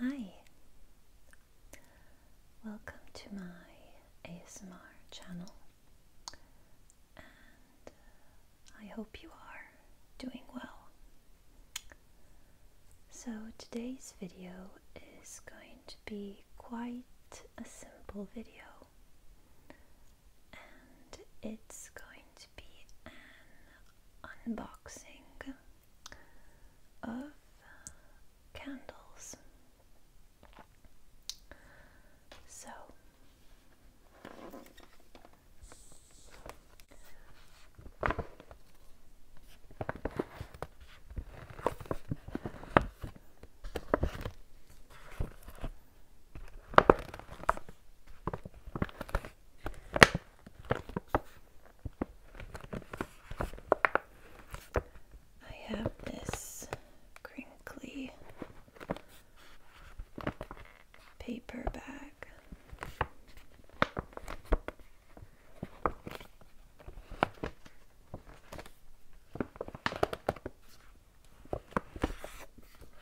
Hi, welcome to my ASMR channel, and uh, I hope you are doing well. So, today's video is going to be quite a simple video, and it's going to be an unboxing of candles. So I have this crinkly paper bag.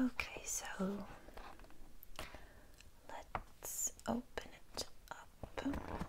Okay, so let's open it up.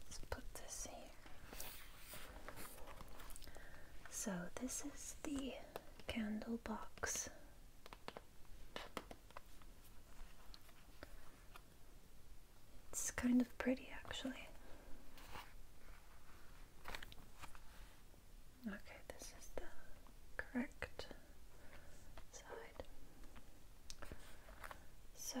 Let's put this here. So, this is the candle box. It's kind of pretty actually. Okay, this is the correct side. So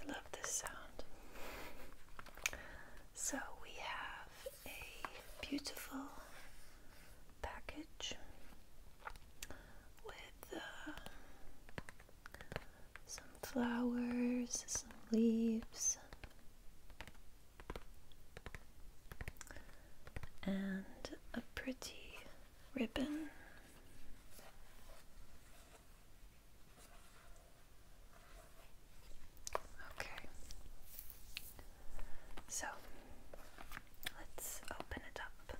I love this sound. So we have a beautiful package with uh, some flowers, some leaves, and a pretty ribbon. Okay, so let's open it up.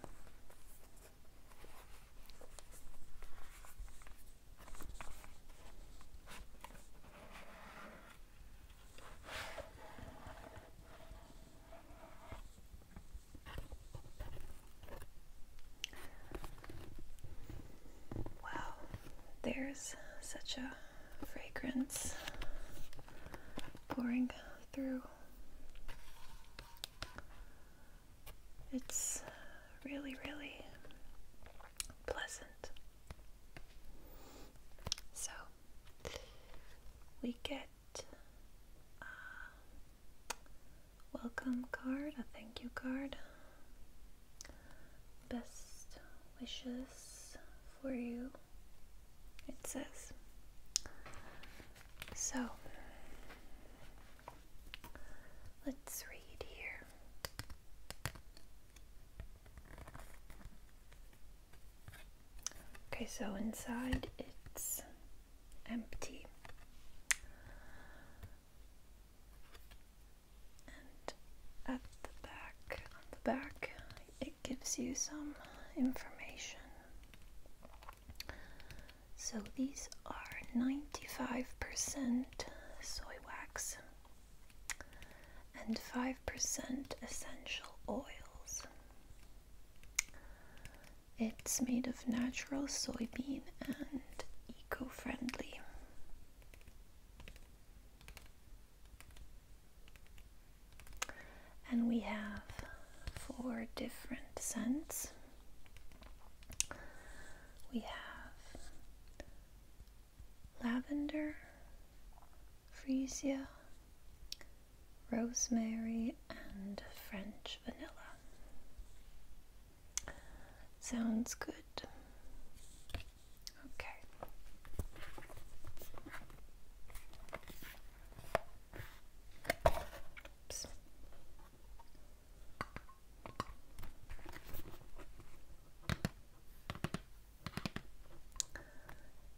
Wow, there's such a fragrance pouring through. It's really, really pleasant. So we get a uh, welcome card, a thank you card, best wishes for you, it says. So Let's read here. Okay, so inside it's empty. And at the back, on the back, it gives you some information. So these are 95% soy wax and 5% essential oils. It's made of natural soybean and eco-friendly. And we have four different scents. We have lavender, freesia, rosemary, and French vanilla. Sounds good. Okay.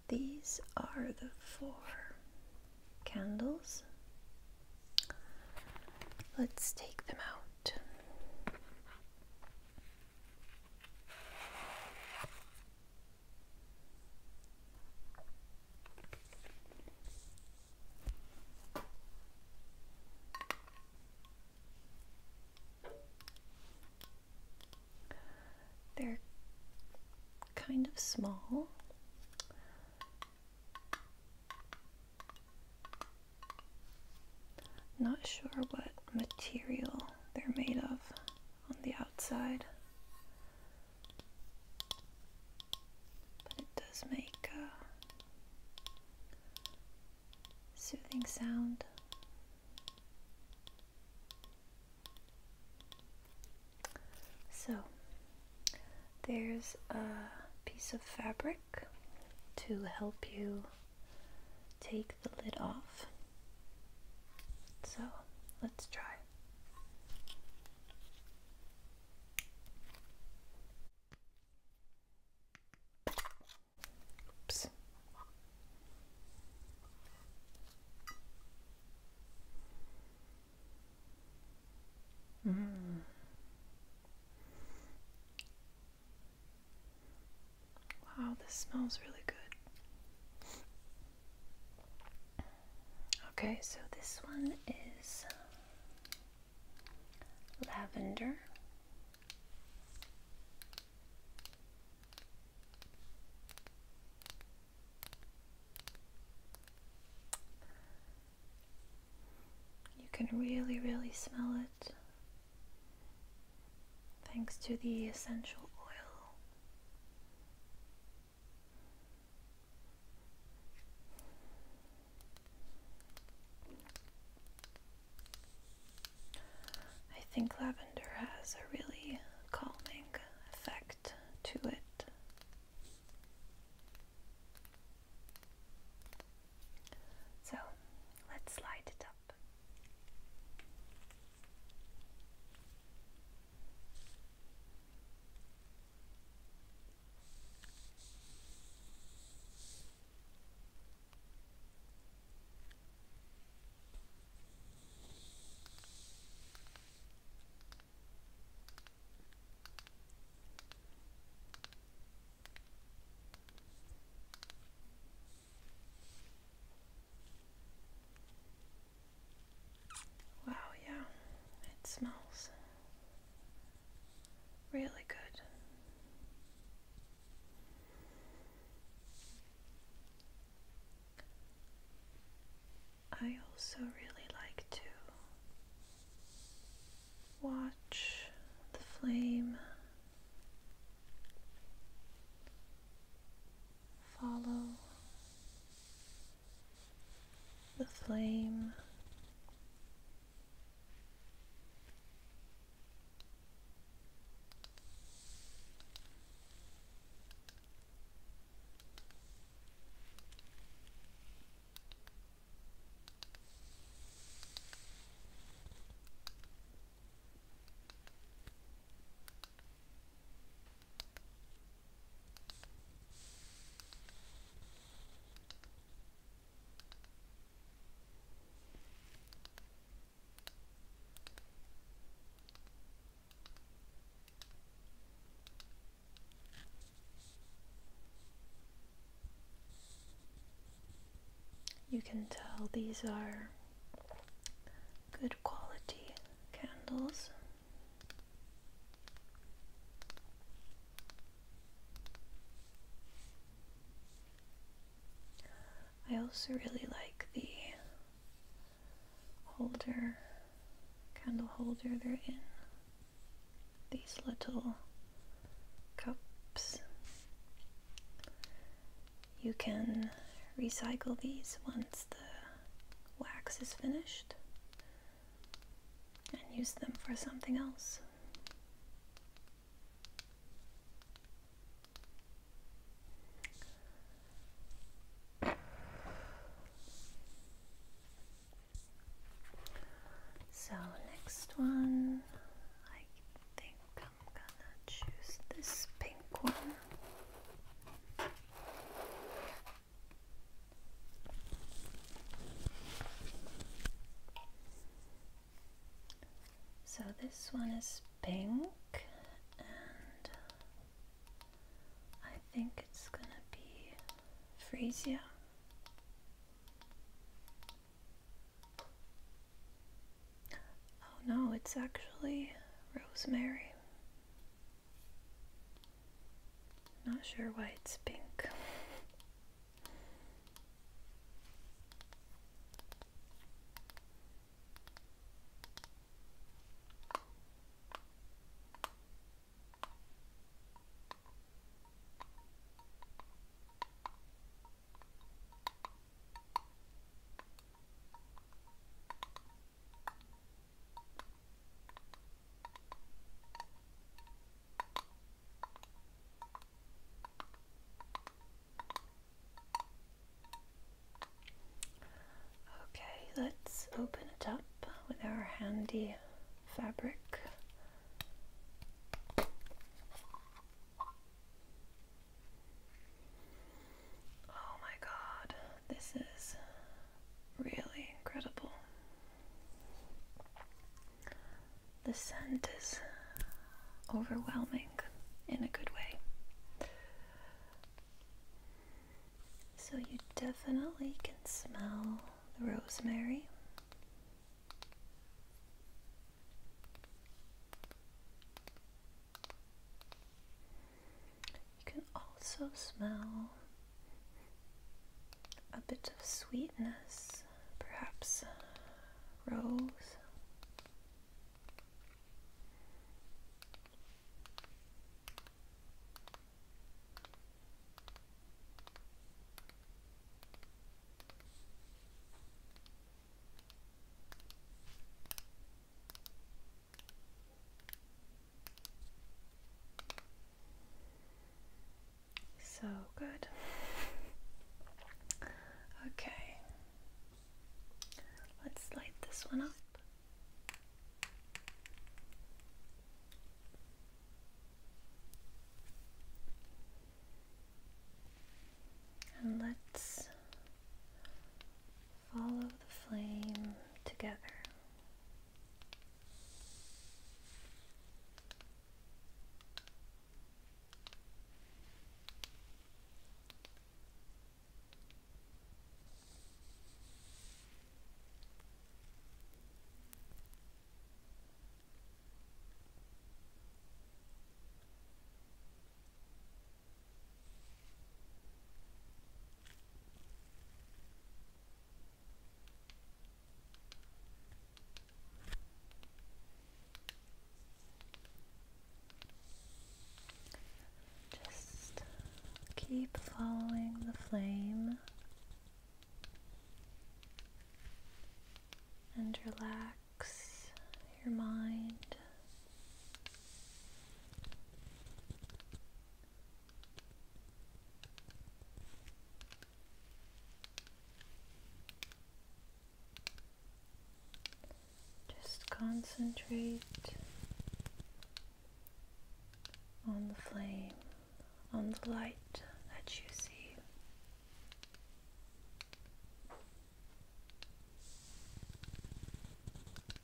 These are the four candles. Let's take them out. They're kind of small. Not sure what material they're made of on the outside. But it does make a soothing sound. So there's a piece of fabric to help you take the lid off. So let's try. Oops. Mm. Wow, this smells really good. Okay, so this one is um, lavender, you can really, really smell it thanks to the essential oil. I think lavender has a really calming effect to it. So let's light it up. Wow, yeah, it smells Really good. I also really like to watch the flame follow the flame. You can tell these are good quality candles. I also really like the holder, candle holder they're in. These little cups. You can recycle these once the wax is finished and use them for something else. So, next one, I think I'm gonna choose this pink one. So this one is pink and I think it's gonna be Frisia. Oh no, it's actually Rosemary. Not sure why it's pink. Okay, let's open it up with our handy fabric. Oh my god, this is really incredible. The scent is overwhelming in a good way. So you definitely can smell the rosemary. You can also smell a bit of sweetness, perhaps rose. So good. Okay, let's light this one up. And let's Follow the flame together. Just keep following the flame and relax your mind. Just concentrate on the flame, on the light that you see.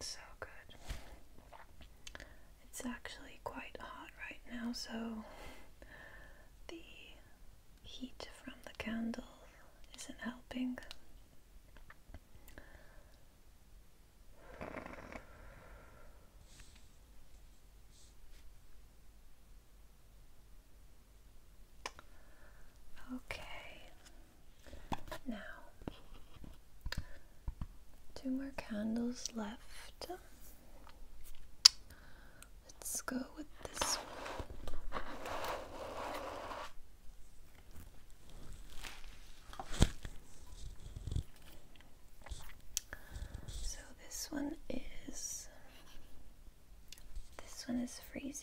So good. It's actually quite hot right now, so the heat from the candle isn't helping. Okay, now, two more candles left. Let's go with this one. So this one is this one is Frisia.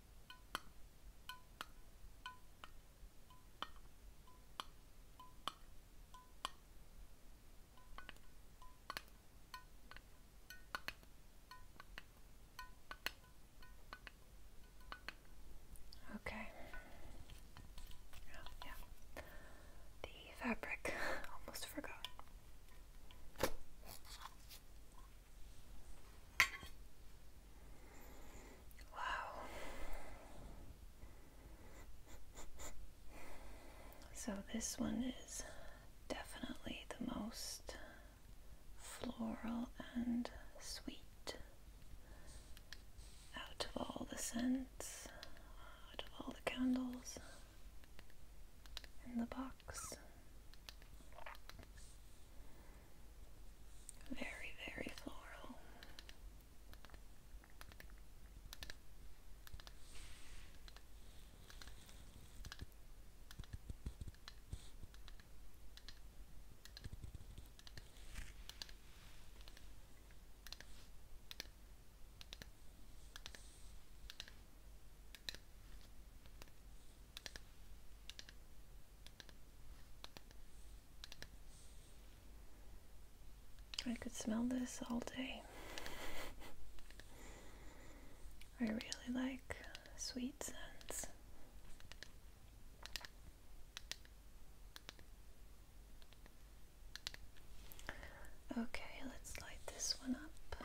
Okay. yeah. The fabric almost forgot. Wow. So this one is definitely the most floral and sweet out of all the scents, out of all the candles in the box. Very, very floral. I could smell this all day. I really like sweet scents. Okay, let's light this one up.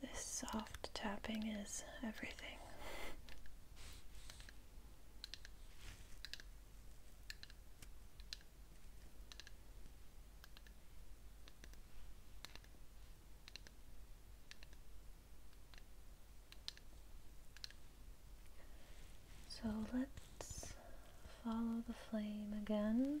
This soft tapping is everything. So let's follow the flame again.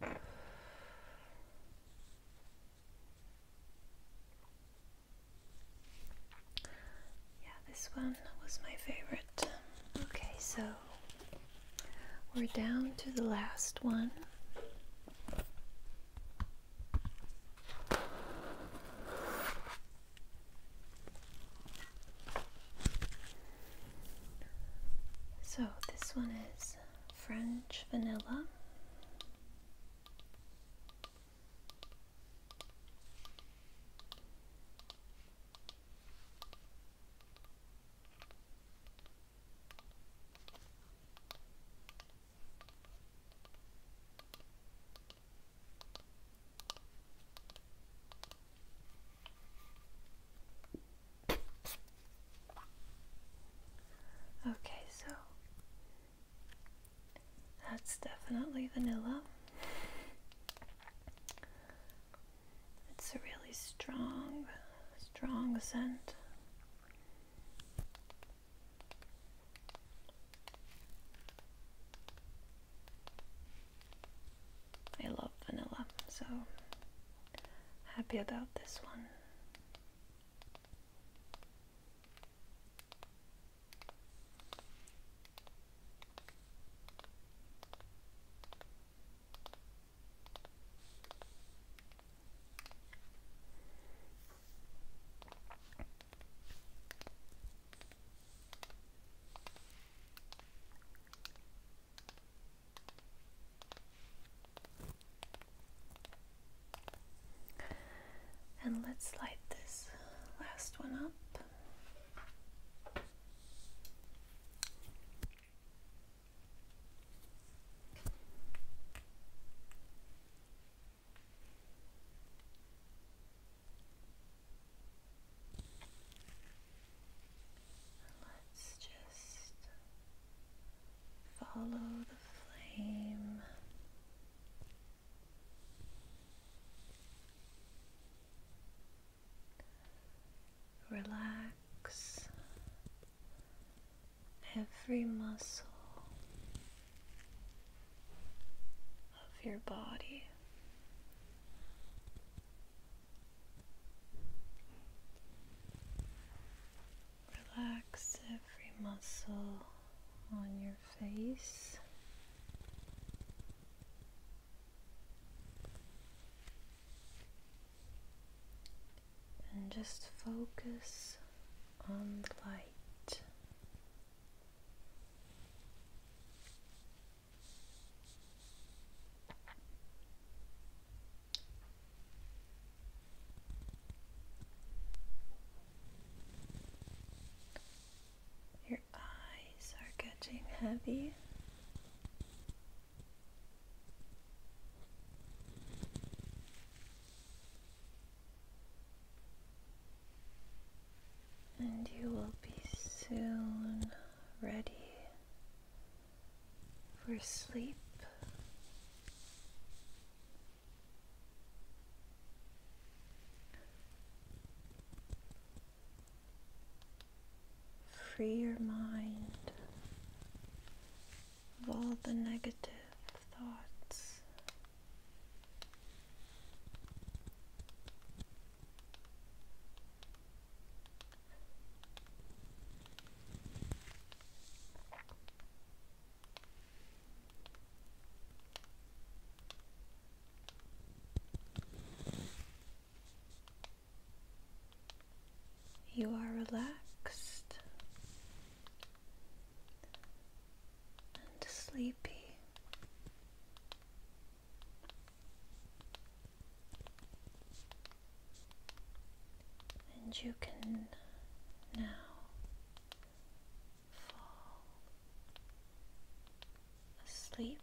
Yeah, this one was my favorite. Okay, so we're down to the last one. So this one is French vanilla. Okay, so that's definitely vanilla. It's a really strong, strong scent. I love vanilla, so happy about this one. And let's light this last one up. Let's just follow the flame. Relax relax every muscle of your body. Relax every muscle on your face and just focus on the light. Your eyes are getting heavy. And you will be soon ready for sleep. Free your mind of all the negative thoughts. You are relaxed and sleepy. And you can now fall asleep.